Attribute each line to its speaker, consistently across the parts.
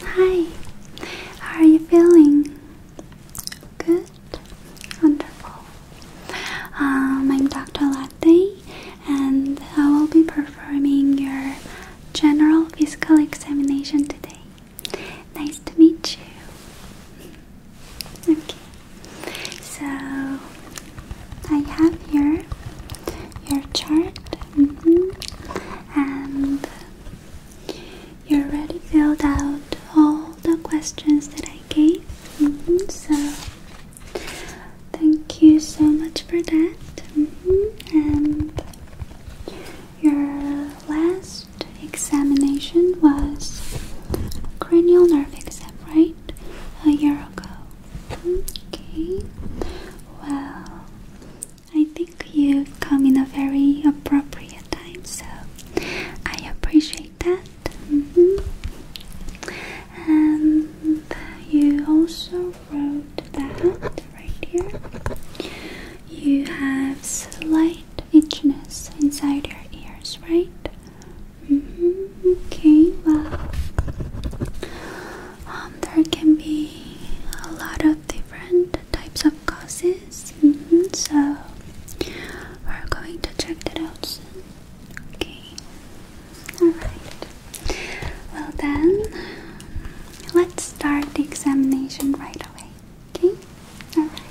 Speaker 1: Hi, how are you feeling? Good? Wonderful. Um, I'm Dr. Latte and I will be performing your general physical examination today. Nice to meet you. Okay. So I have here your chart, mm-hmm, and you already filled out all the questions that I gave. Mm-hmm, so thank you so much for that. Mm-hmm, and your last examination was cranial nerve exam, right? A year ago. Okay, well, I think you've come in a very appropriate time, so I appreciate that. Mm-hmm. And you also wrote that right here. You have slight itchiness inside your ears, right? Mm-hmm. Okay, well, um, there can be a lot of different types of causes, mm-hmm, so we're going to check it out Okay, alright. Well, then, let's start the examination right away. Okay, alright.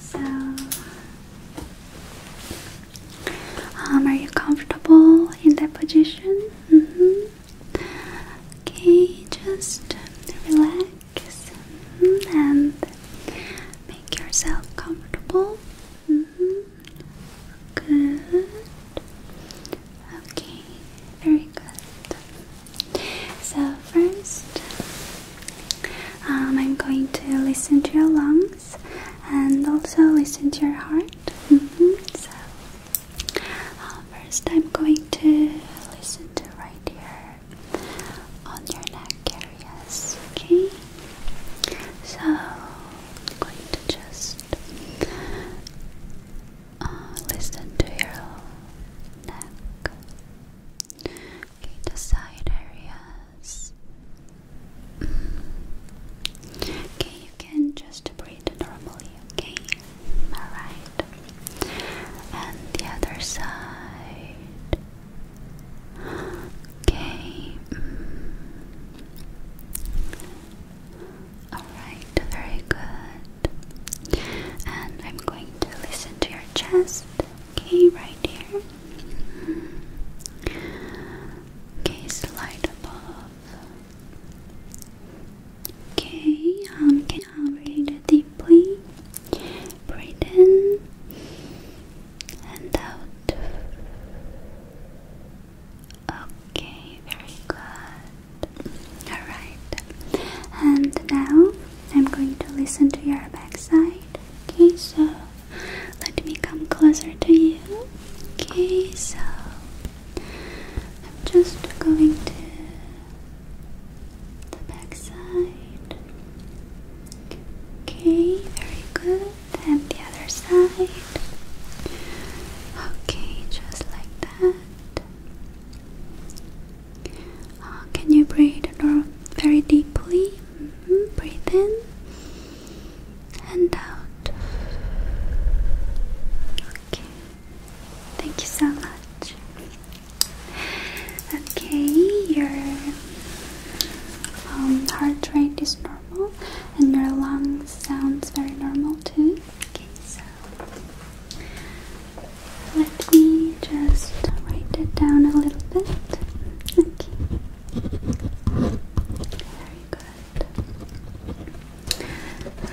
Speaker 1: So, um, are you comfortable in that position? Mm-hmm. Okay, just relax mm-hmm, and make yourself comfortable. Mm-hmm. Good. Okay, very good. So, first, um, I'm going to listen to your lungs and also listen to your heart. Mm-hmm. So, uh, first I'm going to listen to right here on your neck areas, okay? So, I'm going to just uh, listen to your neck. the side areas. Okay, you can just breathe normally, okay? Alright. And the other side. Okay. Mm. Alright, very good. And I'm going to listen to your chest, okay, right here. Mm. Case light above. Okay, um, can I breathe deeply? Breathe in and out. Okay, very good. Alright, and now I'm going to listen to your backside. Okay, so let me come closer to you. Okay, so I'm just going to the back side. Okay, very good. And the other side. Okay, just like that. Uh, can you breathe very deeply? Mm-hmm, breathe in and out. Okay. Thank you so much. Okay, your um, heart rate is normal and your lungs sounds very normal too. Okay, so let me just write it down a little bit. Okay. Very good.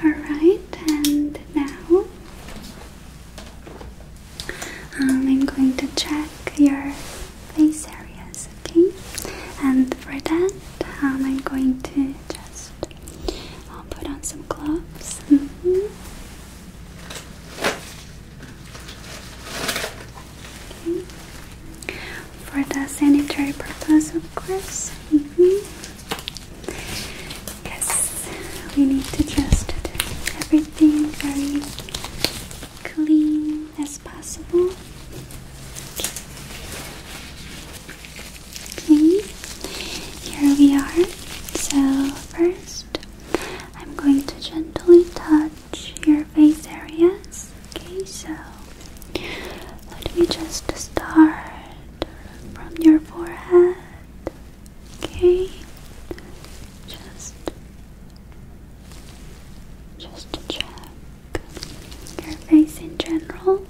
Speaker 1: Alright, and now um, I'm going to check your face areas, okay? And for that, um, I'm going to just I'll put on some gloves. Mm-hmm. For the sanitary purpose, of course. Mm-hmm. Yes, we need to just everything very clean as possible. Okay, here we are. So, first, I'm going to gently touch your face areas. Okay, so let me just start from your forehead. Okay, just just check your face in general.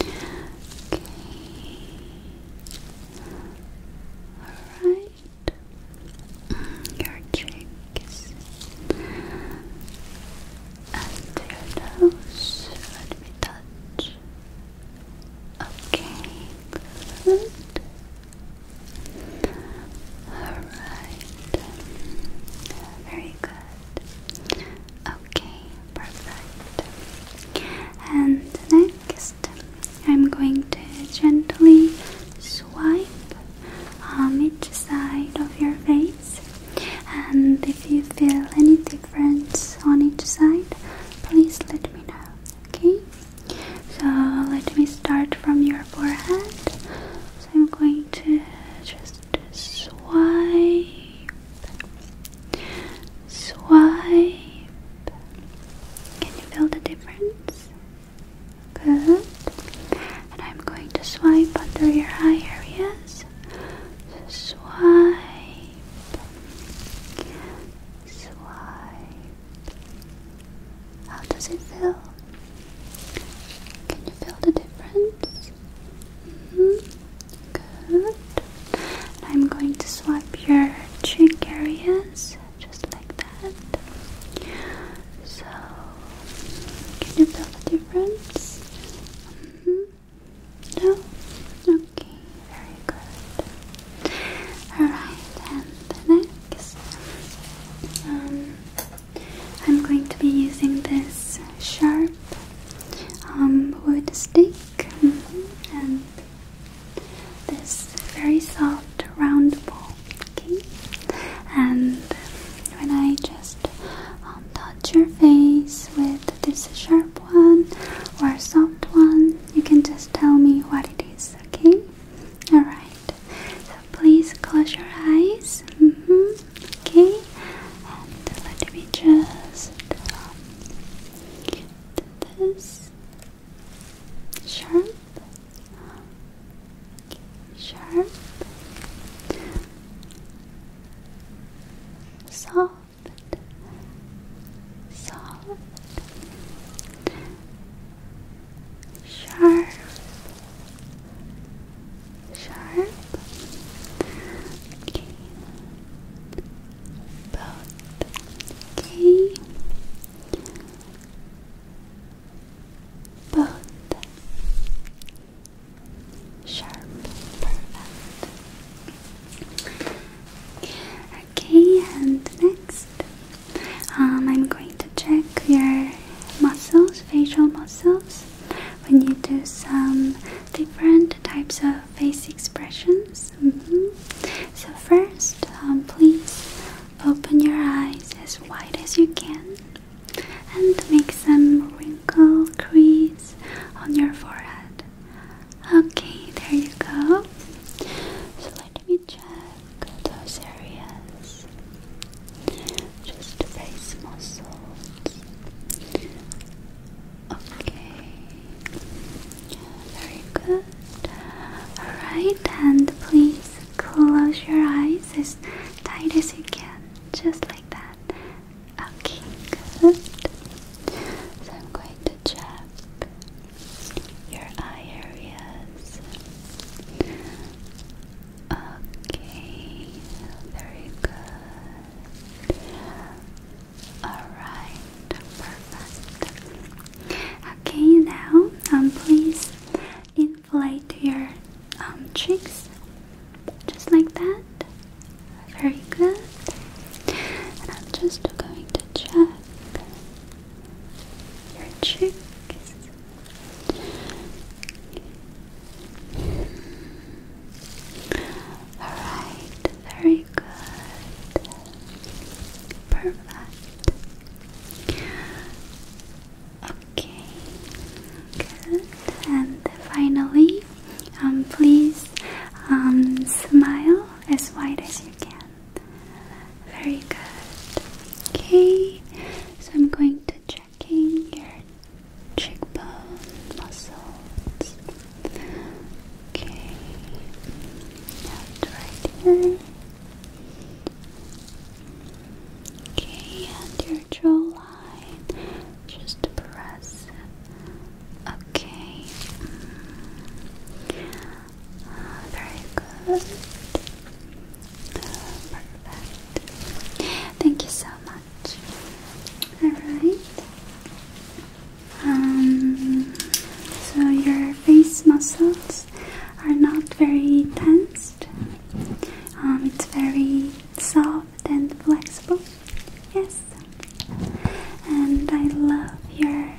Speaker 1: Okay. Alright your cheeks and your nose. Let me touch. Okay, Alright. Very good. Okay, perfect. And next, I'm going to gently swipe on each side of your face. And if you feel any difference on each side, please let me know. Okay? So let me start from your forehead. So I'm going to just swipe, swipe. Can you feel the difference? Good. And I'm going to swipe under your eye areas. swipe. Swipe. How does it feel? Can you feel the difference? hmm Good. And I'm going to swipe your cheek areas just like so, can you tell the difference? Mm -hmm. No? Okay, very good. Alright, and the next. Um, I'm going to be using this sharp um, wood stick mm-hmm. and this very soft round ball okay? And when I just um, touch your face with this sharp one or soft one, you can just tell me what it is, okay? Alright, so please close your eyes, mm-hmm. okay? And let me just do um, this sharp sharp, soft, soft, sharp, sharp. Okay. Both. Okay both sharp, perfect. Okay, and next, um, I'm going to check your muscles, facial muscles, when you do some different types of face expressions. Mm-hmm. So first, um, please open your eyes as wide as you can and make some wrinkle crease on your forehead. Okay, there you go. So let me check those areas. Just the face muscles. Okay, very good. Alright, and please close your eyes tight as you can, just like that. Okay, good. So I'm going to check your eye areas. Okay, very good. Alright, perfect. Okay, now um, please inflate your um, cheeks just like that. Very good. I'm just going to check your cheeks. Alright, very good. Perfect. Okay, good. And finally, um, please um, smile as wide as you can. Very good. Okay, so I'm going to checking your cheekbone muscles. Okay, right here. Okay, and your jawline. Just press. Okay. Mm. Ah, very good. Perfect. Thank you so much. Alright. Um, so your face muscles are not very tense. Um, it's very soft and flexible. Yes. And I love your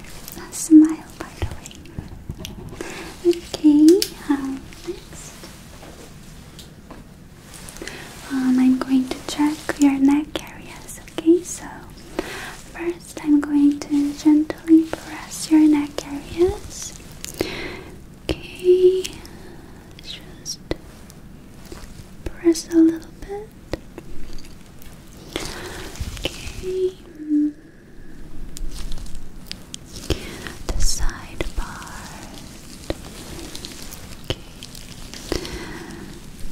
Speaker 1: smile, by the way. Okay, um, next. Um, I'm going to check your neck areas, okay? So, first I'm going to gently press your neck areas. Okay, just press a little bit. Okay, the side Okay,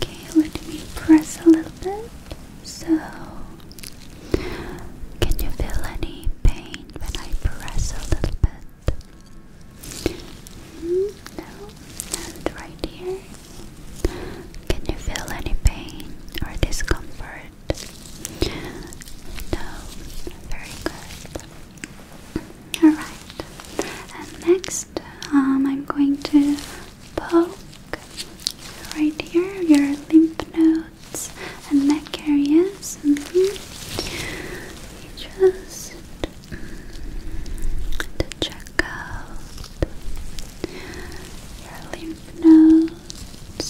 Speaker 1: okay, let me press a little bit. So, can you feel any pain? when I press a little bit? Mm, no, not right here. Can you feel any pain or discomfort? No, very good. Alright, and next um, I'm going to poke right here your lymph node and neck areas. Mm Just to check out your lymph nodes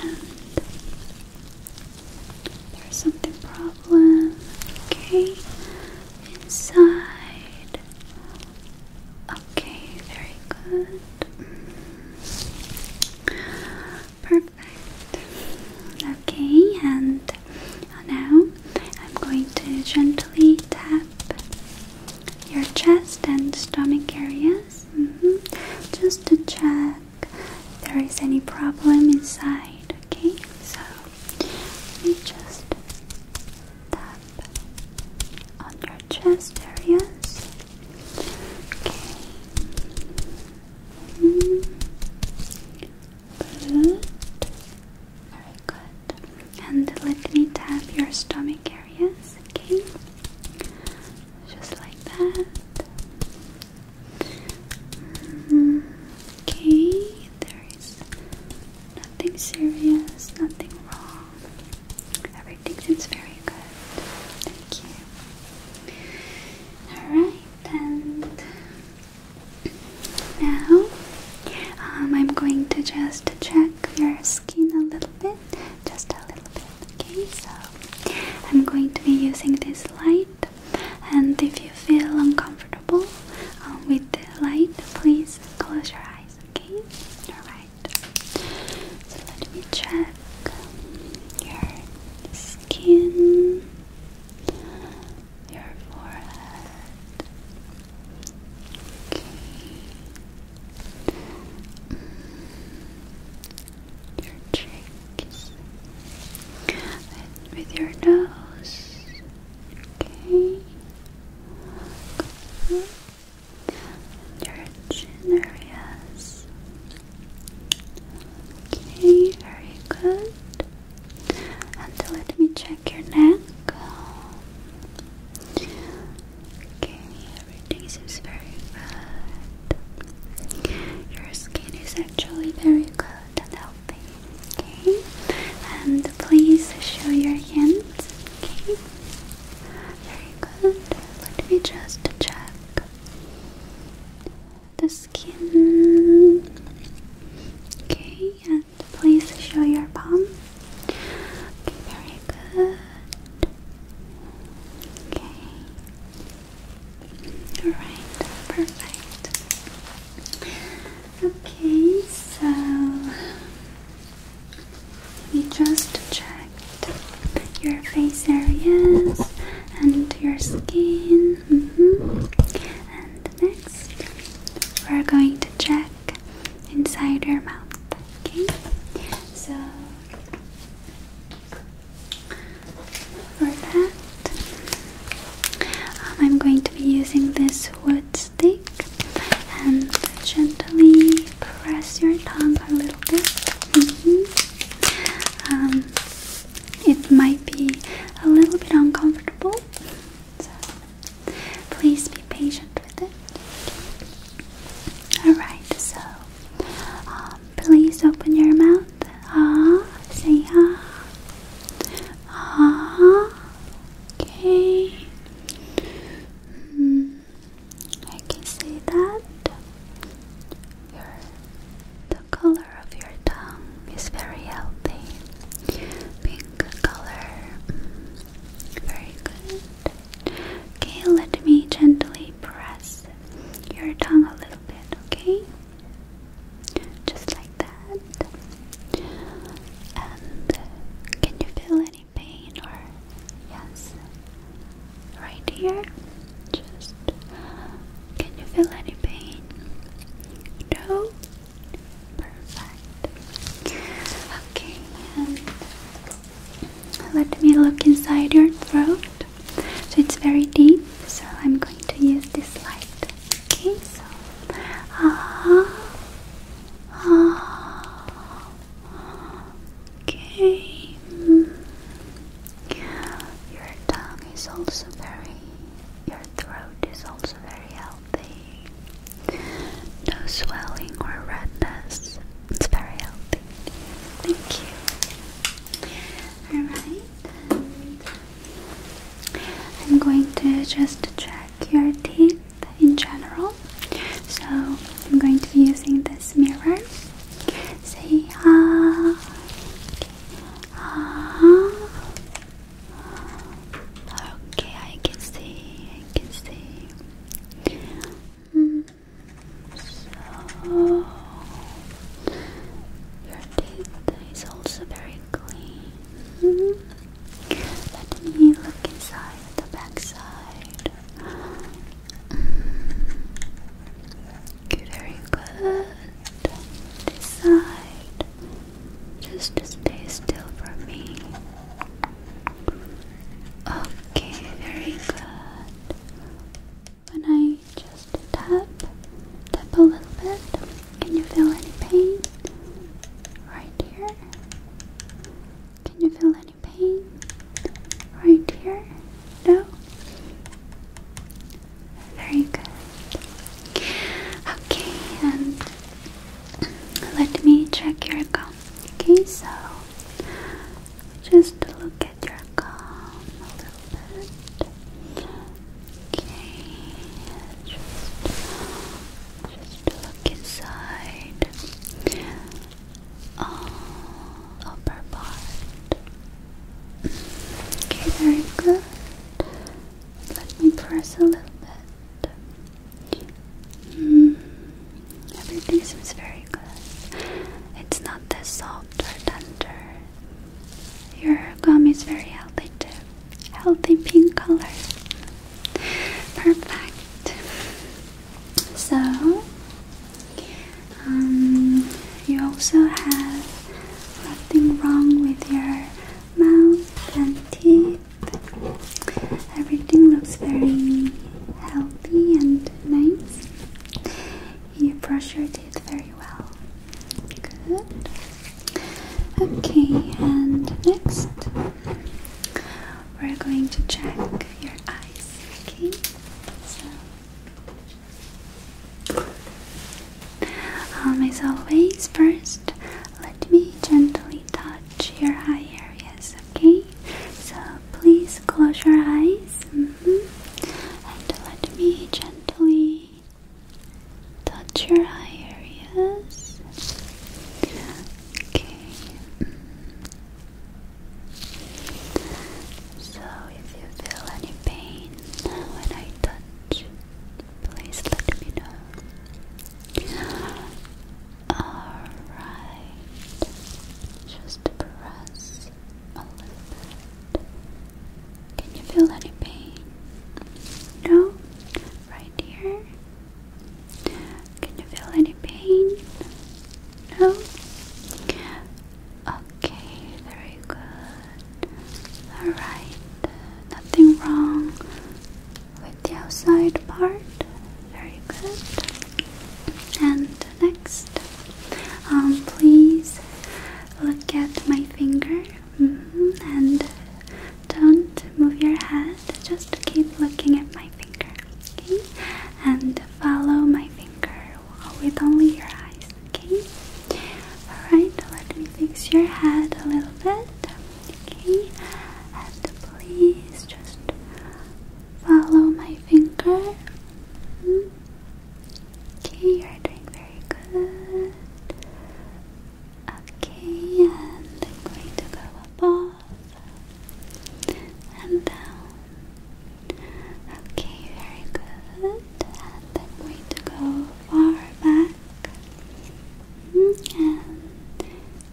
Speaker 1: and there's something problem. Okay, inside. Okay, very good. Mm. Perfect. Okay, and now I'm going to gently tap your chest and stomach areas mm-hmm. just to check if there is any problem inside. Okay, so let just tap on your chest areas. Okay. Very good. And let me tap your stomach areas, okay? Just like that. Mm-hmm. Okay, there is nothing serious, nothing wrong. Everything seems very good. Thank you. Alright, and now um, I'm going to just check your skin a little bit, just a little bit, okay? So I'm going to be using this light, and if you feel uncomfortable um, with the light, please close your eyes, okay? Alright, so let me check your skin skin, your forehead. Okay. Your cheeks and with your nose. Okay. your chin areas. Okay, very good. And let me check your neck. Okay, everything seems very good. Your skin is actually very good and healthy. Okay, and please show your hands. Okay, very good. Let me just check the skin. Okay, and please show your palm. Okay, very good. Okay. Alright, perfect. Okay, so we just checked your face areas and your skin. Mm-hmm. And next, we're going to check inside your mouth. Okay, so for that, um, I'm going to be using this wood stick and gently press your tongue a little bit. Mm-hmm. Um, it might be a little bit uncomfortable. So please be patient with it. Alright, so um, please open your mouth. Ah, say ah. Ah, okay. Mm, I can see that. Your, the color of your tongue is very healthy. Pink color. Mm, very good. Okay, let me gently press your tongue a little bit, okay? Just like that. And can you feel any pain or yes? right here. Just can you feel any pain? No? Perfect. Okay, let me look inside your throat. So it's very deep, so I'm going to use this light. Okay, so ah, ah okay. Your tongue is also very, your throat is also very healthy. No swelling or redness. It's very healthy. Thank you. Alright, I'm going to just check your teeth in general. So I'm going to be using this mirror. Say ah. Ah. Okay, I can see. I can see. Mm. your teeth is also very clean. -hmm. Let me look inside the backside. Mm. Very good. Decide just to stay still for me. Okay, very good. When I just tap, tap a little bit, can you feel any pain? Right here. Can you feel any pain? Right here? No? Very good. Okay, and let me check your gum. Okay, so just look at your gum a little bit. Okay, just, just look inside upper part. Okay, very good. Let me press a little bit. Mm, everything seems very good. It's not that soft or tender. Your gum is very healthy too. Healthy pink color. Perfect. So um, you also have nothing wrong with your mouth and teeth. Everything looks very healthy and nice. You brush your teeth very well. Good. Okay, and next we're going to check your eyes. Okay, um, as always, first let me gently touch your eye areas, okay? So please close your eyes mm-hmm. and let me gently touch your eye areas. Okay. Mm. So if you feel any pain when I touch, please let me know. Alright, just press a little bit. Can you feel any pain? No? Right here? Can you feel any pain? No? Okay, very good. Alright, nothing wrong with the outside part. Very good. And next, um, please look at my finger mm-hmm, and don't move your head, just keep looking at my finger. Okay? And follow my finger with only your eyes okay? Alright, let me fix your head a little bit, okay? And please just follow my finger. Hmm? Okay, you're doing very good. Okay, and I'm going to go above and down. Okay, very good. And I'm going to go far back. Mm, and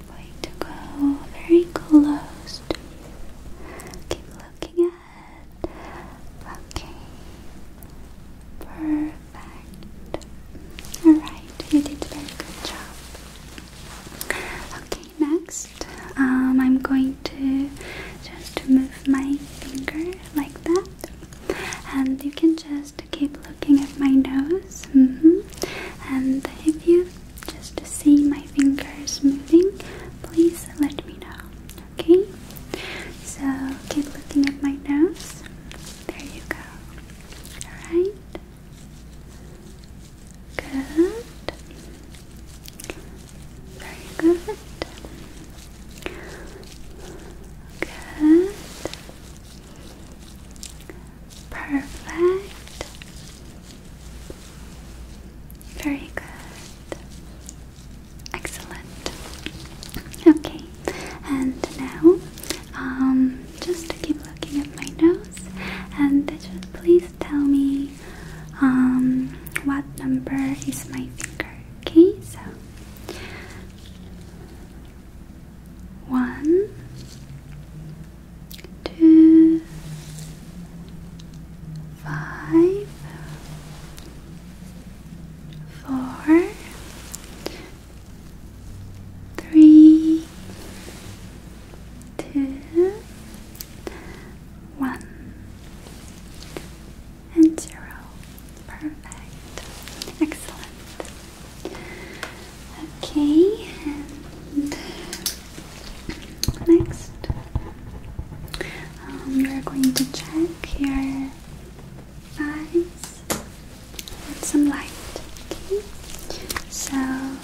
Speaker 1: going to go very close to you. Keep looking ahead. Okay. Perfect. Alright, you did a very good job. Okay, next, um, I'm going to just move my finger like that. And you can just keep looking at my nose. Mm-hmm. And if you just see my fingers moving, please let me know. Okay? So keep looking at my nose. There you go. Alright? Good. Very good. Good. Perfect. Very good. Excellent. Okay, and now, um, just to keep looking at my nose, and please tell me, um, what number is my finger? Okay, so one, two, five, four, three, two, one and zero. Perfect. Excellent. Okay, and next um, we're going to check your eyes with some light. Okay, so.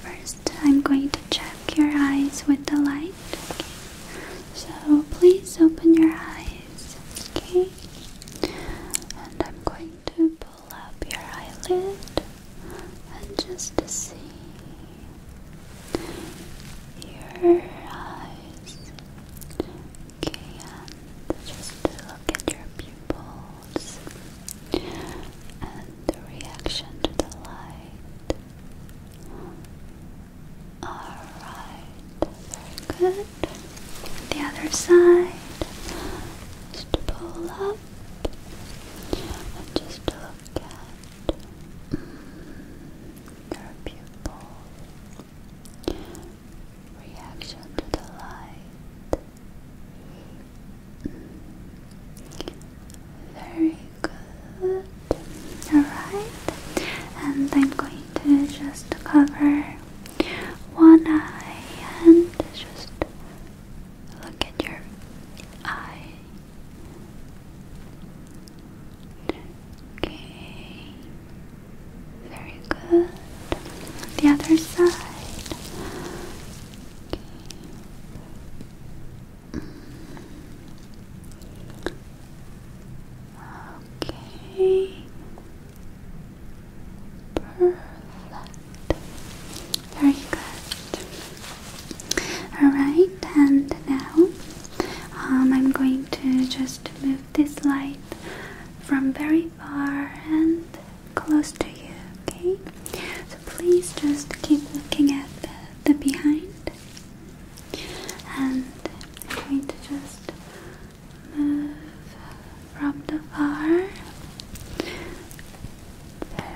Speaker 1: First i I'm going to check your eyes with the light. So please open your eyes. Okay. And I'm going to pull up your eyelid and just to see your eyes. Okay, just to look at your pupils and the reaction to the light. Alright, very good. The other side. Just pull up. And just look at mm, your pupil. Reaction to the light. Mm. Very good. Alright, and I'm going to just cover one eye and just look at your eye. Okay, very good. The other side. Okay. Perfect. Very good. Alright, and now um, I'm going to just move this light from very far and close to you, okay? please just keep looking at the behind. And I'm going to just move from the far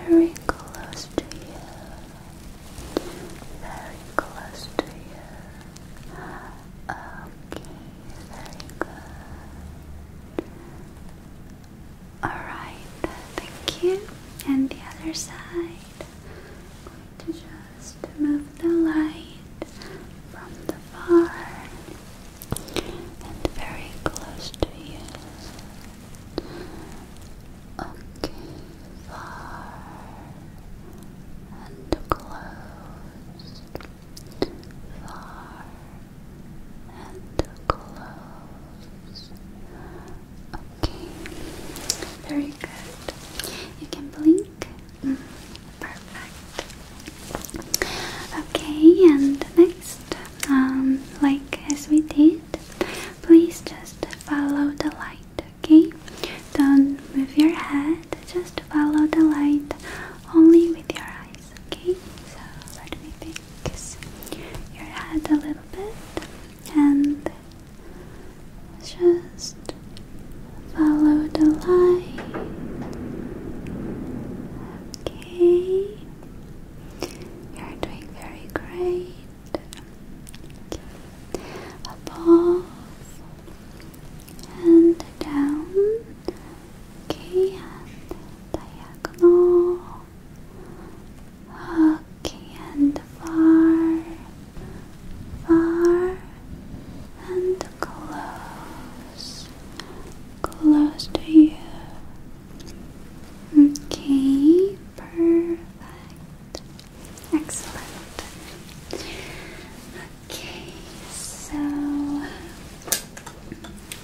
Speaker 1: very close to you. Very close to you. Okay, very good. Alright, thank you. And the other side. I'm going to just move the light from the far and very close to you. Okay, far and close, far and close, Okay. Very good. You can blink. Mm, perfect. Okay, and next, um, like as we did, please just follow the light. Okay. Don't move your head. Just follow the light only with your eyes. Okay. So let me fix your head a little bit and just follow the line. Okay. You're doing very great. Okay. Above and down. Okay, and diagonal. Okay, and far, far, and close, close to you. Okay, perfect. Excellent. Okay, so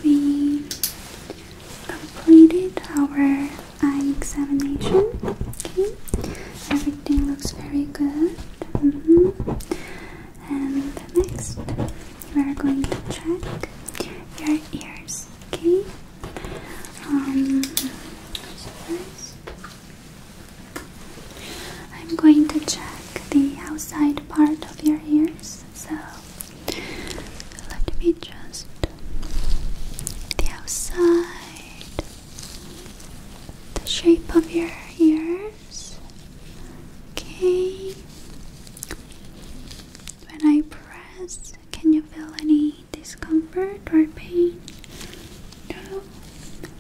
Speaker 1: we completed our eye examination. Okay, everything looks very good. Mm-hmm. And the next, we are going to check your ears. Okay. Um, so i I'm going to check the outside part of your ears. So let me just the outside the shape of your ears. Okay. When I press, can you feel any discomfort or pain? No?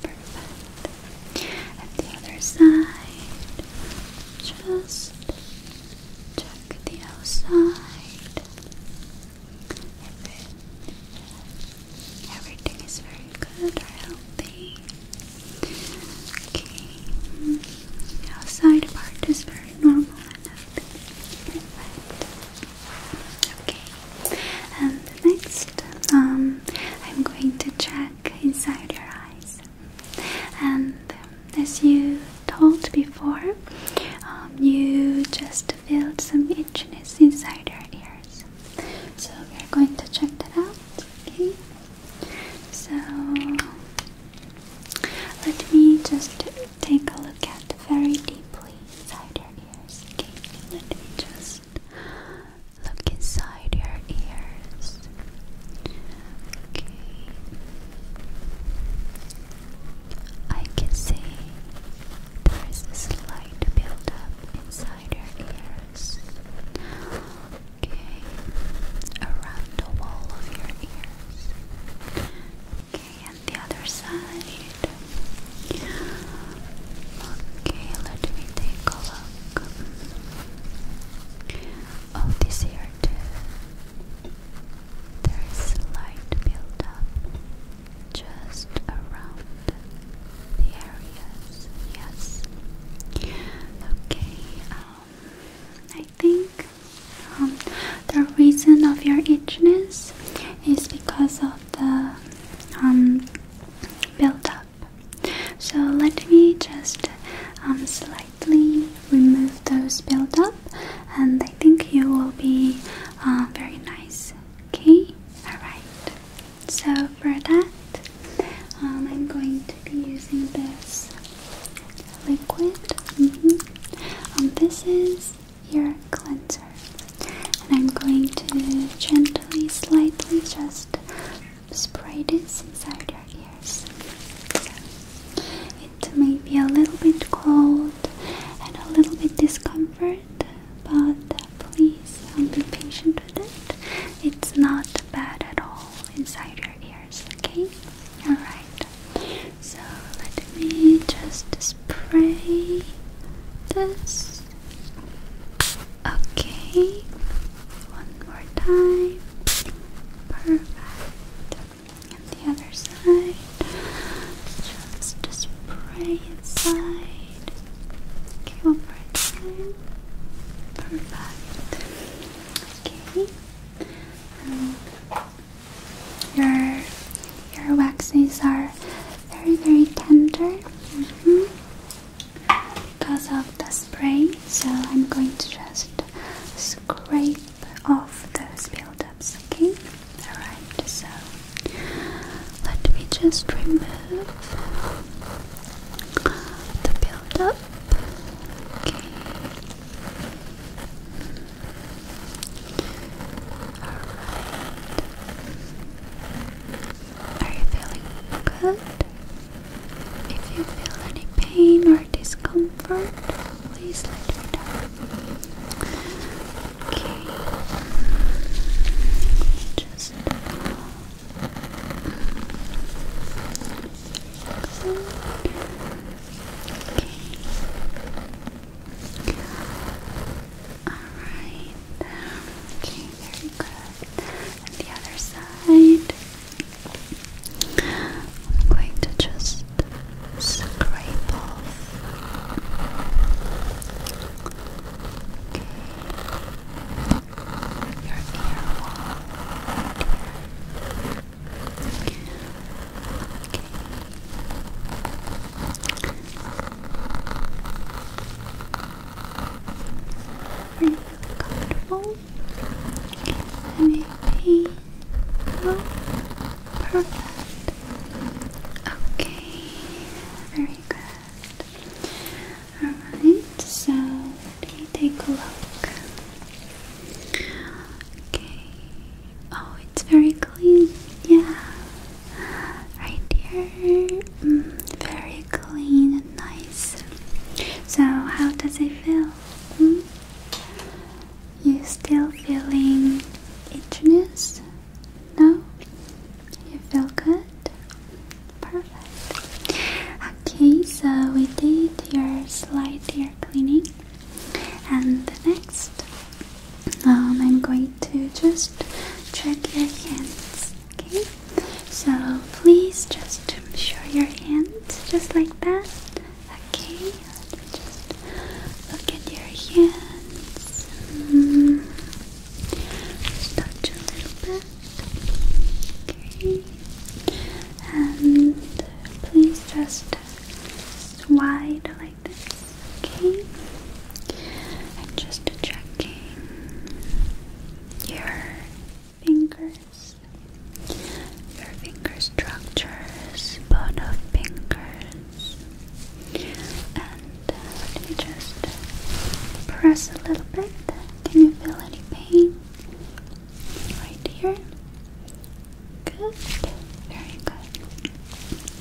Speaker 1: Perfect. At the other side, just check the outside. Every, everything is very good or healthy. Okay. The outside part is very normal and healthy. Perfect. Okay. And next, um, I'm going to check inside your eyes. And as you told before, um, you just to some itchiness inside our ears. So we're going to check that out. Okay. So let me just take a look at very deeply inside your ears. Okay. Let me just look inside your ears. Okay. I can see there is a slight buildup inside your ears. Okay, around the wall of your ears. Okay, and the other side. Okay, let me take a look. Oh, this ear too. There is light build up just around the areas. Yes. Okay. Um, I think um, the reason of your itchiness is because of the um buildup. So let me just um slightly remove those buildup and I think you will be uh, very nice. Okay, alright. So, for that, um, I'm going to be using this liquid. Mm-hmm. Um, this is your cleanser, and I'm going to gently, slightly just spray this inside your ears it may be a little bit cold and a little bit discomfort, but please um, be patient with it. It's not bad at all inside your ears, okay? Alright, so let me just spray this. Okay, one more time. Perfect. And the other side. Just, just spray inside. Okay, one more time. Perfect. Okay. Um, your your waxes are very very tender mm-hmm. because of the spray, so I'm going to just scrape off those build taps again. Alright, so let me just remove the build Okay. Alright. Are you feeling good? If you feel any pain or discomfort, Please let me know. Okay. Just Okay. Alright. Um, okay, very good. the other side. I'm going to just scrape off okay. your ear wall. Okay. Are you comfortable? Maybe. No? Oh, perfect. Okay, very good. Alright, so let me take a look. Okay. Oh, it's very clean. Yeah. Right here. Mm, very clean and nice. So, how does it feel? Hmm? You still feeling itchiness? No? You feel good? Perfect. Okay, so we did your slide, ear cleaning, and the next, um, I'm going to just check your hands. Okay, so please just show your hands just like that. Okay, just look at your hands. Mm-hmm. touch a little bit. Okay. And please just slide like this. Okay. And just checking your fingers, your finger structures, bone of fingers. And uh, let me just uh, press a little bit. Can you feel any pain? Right here. Good. Very good.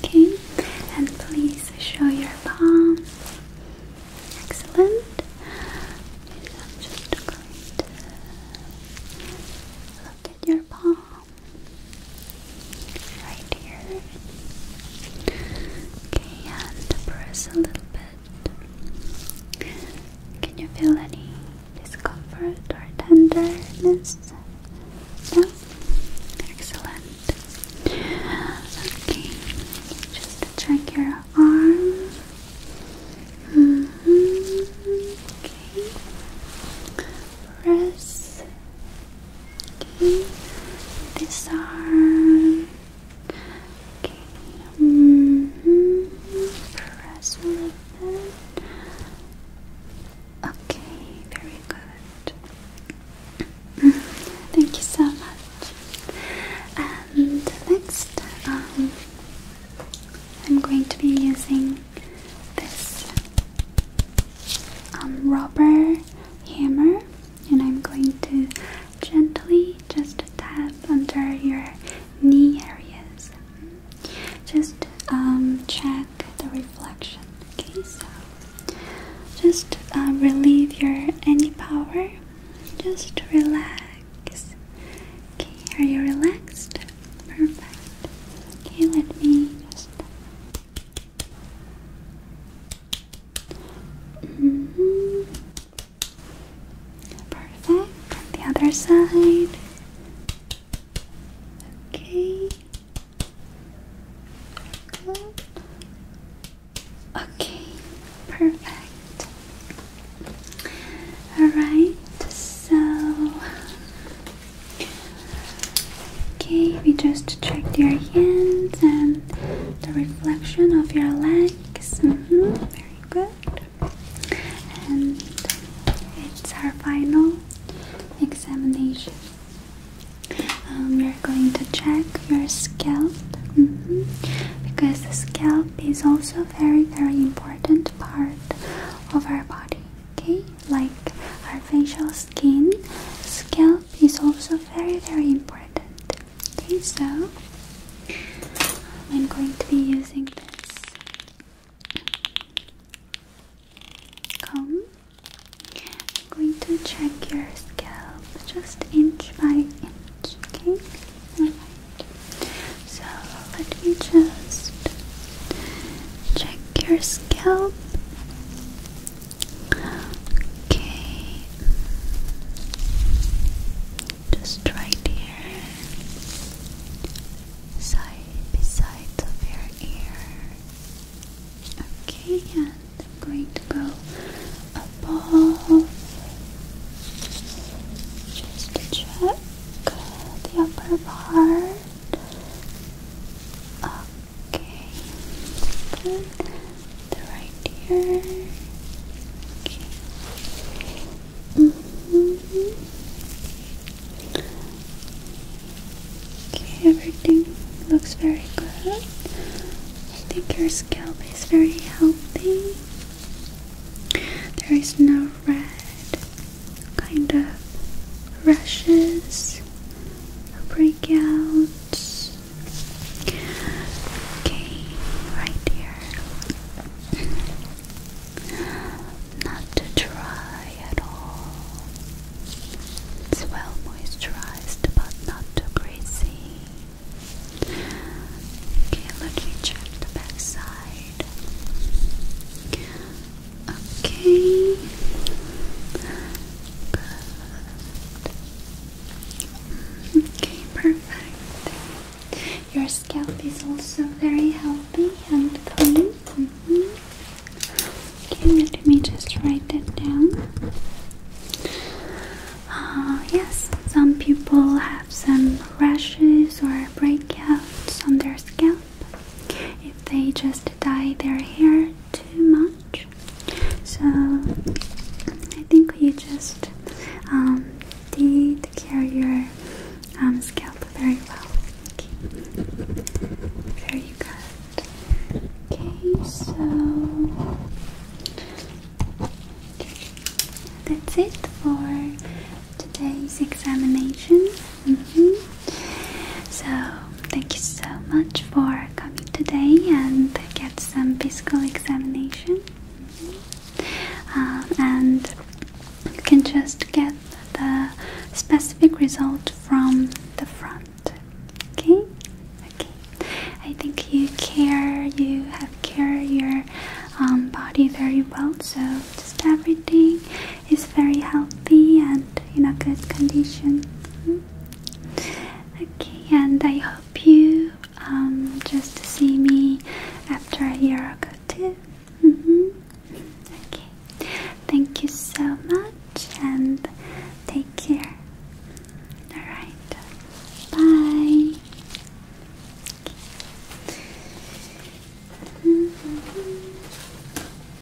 Speaker 1: Okay. And please show your palm. Excellent. I'm just going to look at your palm right here. Okay, and press a little bit. Can you feel any discomfort or tenderness? No? Excellent. Okay, just to check your arm. Mm-hmm. Okay. Press Okay, this Okay, -hmm. press a little bit. Okay, very good. Mm-hmm. Thank you so much. And next, um, I'm going to be using this um, rubber hammer, and I'm going to gently just tap under your knee areas. Just um, check the reflection. Okay, so just uh, relieve your any power. Just relax. Okay, are you relaxed? Perfect. Okay, let me just Mm-hmm. Perfect. the other side. Okay. Okay. Perfect. Alright, so Okay, we just checked your hands and the reflection of your legs. Mm-hmm, very good. And it's our final examination. Um, we are going to check your scalp mm-hmm, because the scalp is also a very, very important part of our body okay like our facial skin scalp is also very very important okay so i'm going to be using this comb i'm going to check your scalp just inch by inch okay so let me just Check your scalp. Okay. Just right here. Side beside of your ear. Okay, and I'm going to go above. Just check the upper part. Okay. The right ear. Okay. everything looks very good. I think your scalp is very healthy. There is no red kind of rashes breakouts. Okay, right here. Not too dry at all. It's well moisturized but not too greasy. Okay, let me check the back side. Okay. Okay, perfect. Your scalp is also very healthy and clean. Mm Okay, let me just write that down. Uh, yes, some people have some rashes or breakouts on their scalp if they just dye their hair too much. So I think you just um, did care your um, scalp very well. Very good. Okay, so that's it for today's examination. Mm-hmm. So, thank you so much for coming today and get some physical examination. Mm-hmm. Um, and you can just get the specific result from the front. Okay? Okay. I think you care, you have care your um, body very well, so just everything is very healthy and in a good condition. Hmm? Okay, and I hope you um, just see me after a year or two. Mm-hmm. Okay, thank you so much and take care. Alright, bye. Mm-hmm.